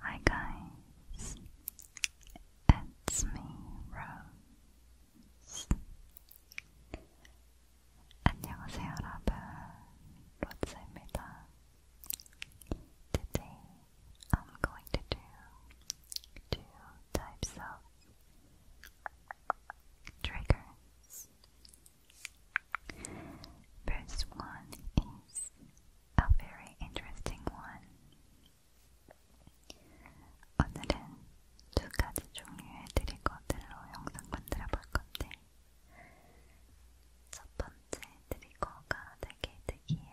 Hi guys, it's me, Rose. 안녕하세요, 여러분. 로즈입니다. Today I'm going to do two types of triggers. First one is a very interesting one. 오늘은 두 가지 종류의 트리거들로 영상 만들어 볼 건데, 첫 번째 트리거가 되게 특이해요.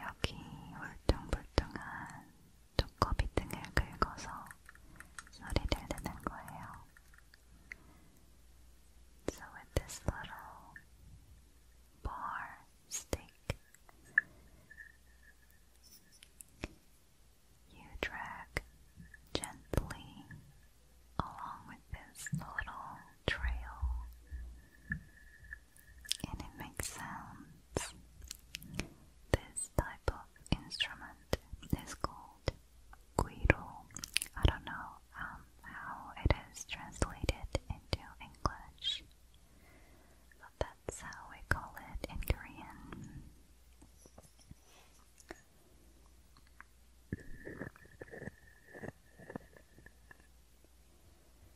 여기 울퉁불퉁한 두꺼비 등을 긁어서 소리를 내는 거예요. So with this little bar stick, you drag gently along with this little trail and it makes sounds. This type of instrument is called guiro. I don't know um, how it is translated into English, but that's how we call it in Korean.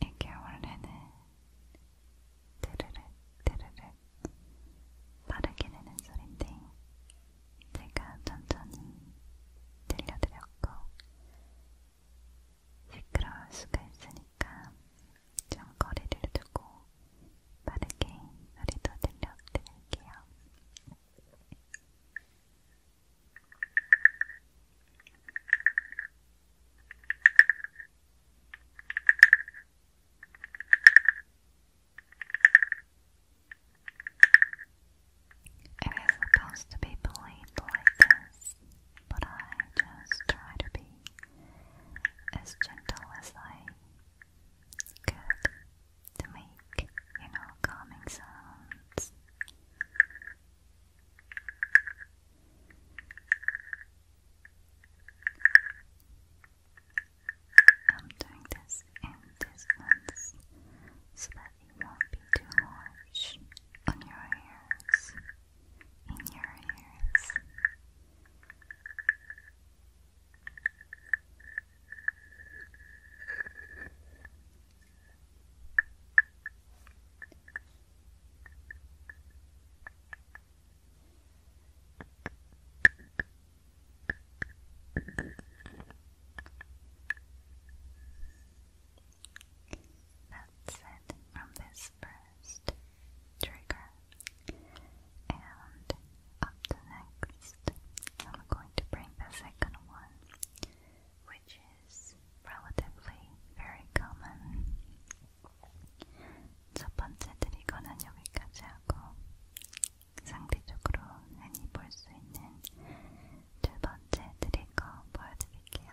이게 원래는 드르륵 드르륵 빠르게 내는 소리인데 제가 천천히 들려드렸고 시끄러울 수가 있으니까 좀 거리를 두고 빠르게 소리도 들려드릴게요. It is supposed to be believed like this, but I just try to be as gentle as I could to make, you know, calming sounds. I'm doing this in distance so it won't be too much on your ears, in your ears. That's it from this first trigger. And up next, I'm going to bring the second one, which is relatively very common. 첫 번째 트리거는 여기까지 하고 두 번째 드릴 거 보여드릴게요.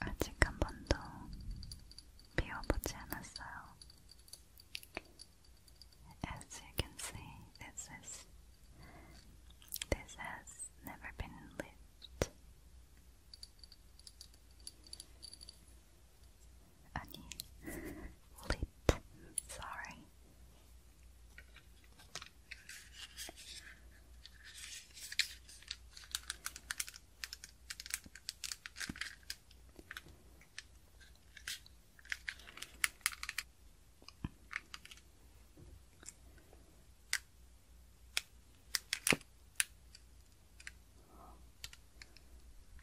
아직 한 you can see, this is this has never been lived. 아니 lit sorry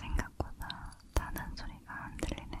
생각보다 다른 소리가 안 들리네요.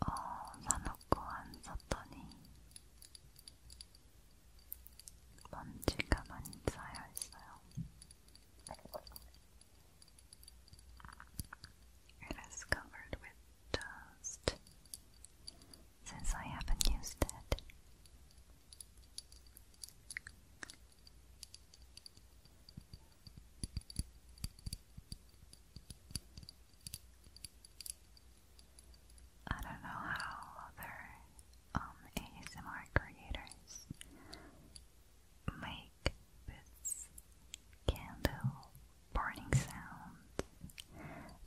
어, 사놓고 안 썼더니 먼지가 많이 쌓여 It is covered with dust since I haven't used it. I don't know how other um, ASMR creators make this candle burning sound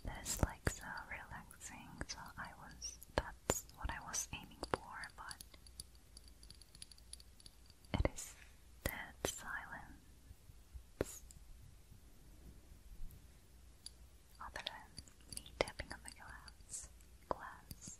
that is like so relaxing relaxing, so I was that's what I was aiming for, but it is dead silence. Other than me tapping on the glass glass.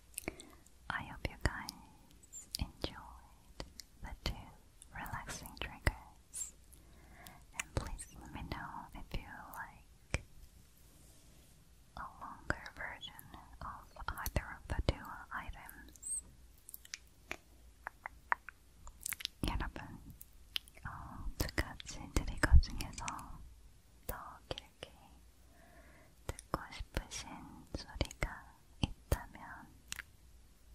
I hope you guys enjoyed the two relaxing triggers. And please let me know if you like a longer version of either of the two items. 여러분, 두 가지 트리거 중에서 더 길게 듣고 싶으신 소리가 있다면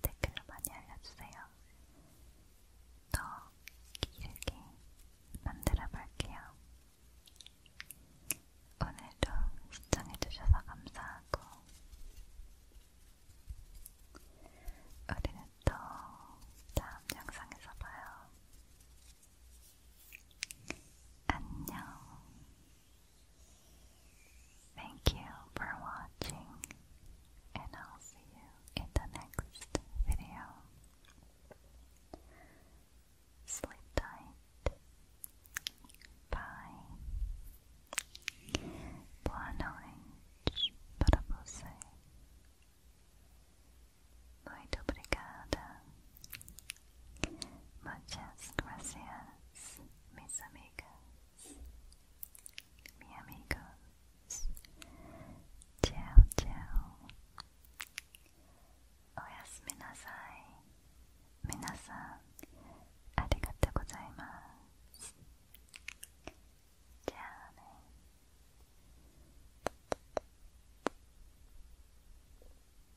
댓글로 많이 알려주세요. 더 길게 만들어 볼게요. 오늘도 시청해주셔서 감사하고, 우리는 또 다음 영상에서 봐요. 안녕. Thank you for watching, and I'll see you in the next video. Sleep tight. Bye. Boa noite para você. Muito obrigada. Muchas gracias, mis amigas, mi amigos. Tchau, tchau. O yasumi nasai. Minasan, arigatou gozaimasu. Tchau, né?